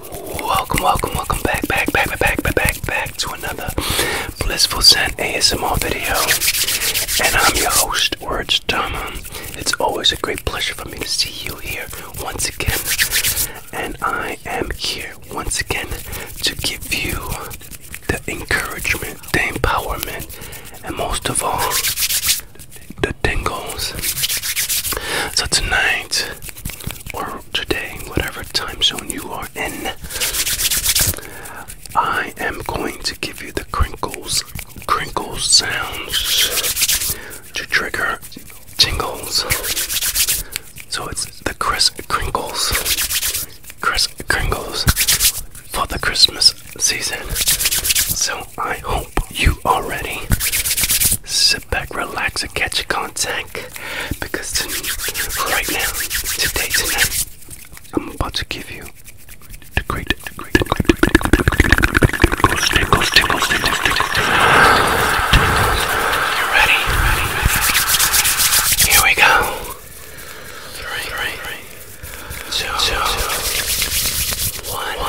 Welcome, welcome, welcome back, back, back, back, back, back, back, to another Blissful Scent ASMR video. And I'm your host, Words Dharma. It's always a great pleasure for me to see you here once again. And I am here once again to give you the encouragement, the empowerment, and most of all, the tingles. So tonight, or today, whatever time zone you are in, I am going to give you the crinkles, crinkles sounds to trigger tingles. So it's the crisp crinkles, crisp crinkles for the Christmas season. So I hope you are ready. Sit back, relax, and catch a contact. Because tonight, right now, today, tonight, I'm about to give you the great, the great, the great, the great, you ready? Here we go three, three, two, two, one. one.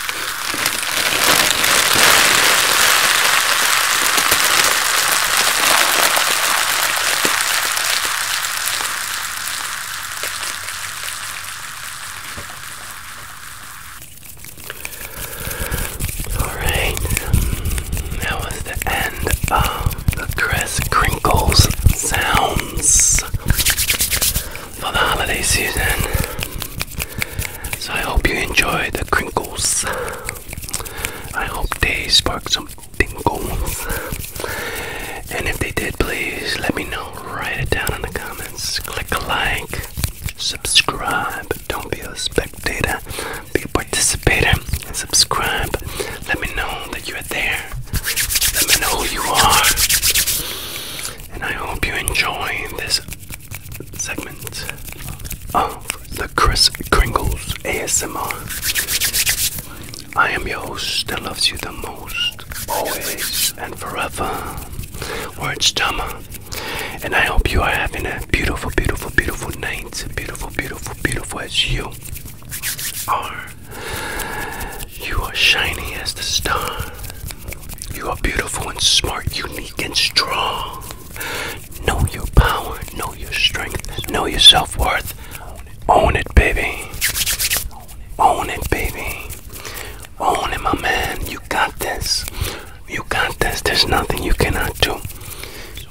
Alright, um, that was the end of the Chris Crinkles sounds for the holiday season. So I hope you enjoy the crinkles. I hope they spark some tingles. And if they did, please let me know. Write it down in the comments. Click like, subscribe. Don't be a spectator, be a participator. subscribe. Let me know that you're there. Let me know who you are and I hope you enjoy this segment of the Chris Kringles ASMR. I am your host that loves you the most, always and forever. Where it's Tama. And I hope you are having a beautiful, beautiful, beautiful night. Beautiful, beautiful, beautiful as you are. You are shiny as the star. You are beautiful and smart, unique and strong. Know your power, know your strength, know your self worth. Own it, baby. Own it, baby. Own it, my man. You got this. You got this. There's nothing you cannot do.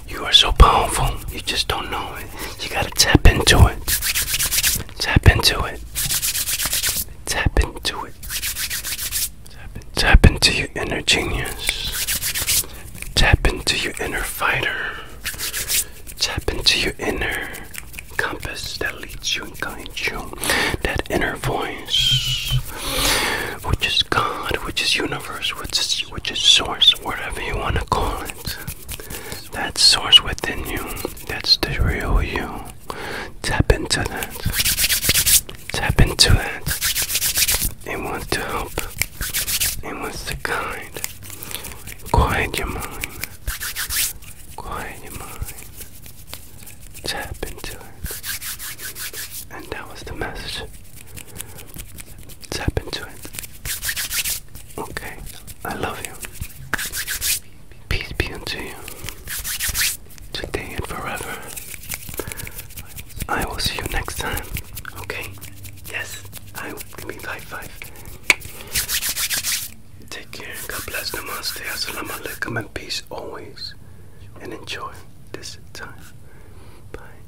You are so powerful. You just don't know it. You gotta tap into it. Tap into it. Tap into it. Tap, into your inner genius. Tap into your inner fighter. Tap into your inner compass that leads you and guides you. That inner voice, which is God, which is universe, which is, which is source, whatever you want to call it. That source within you, that's the real you. Tap into that. Tap into that. It wants to help. It wants to guide. Quiet your mind. Quiet your mind. Tap into it. And that was the message. Tap into it. Okay, I love you. Peace be unto you, today and forever. I will see you next time. Okay? Yes, I give me high five. Take care. God bless. Namaste. Assalamu alaikum and peace always. And enjoy this time. Bye.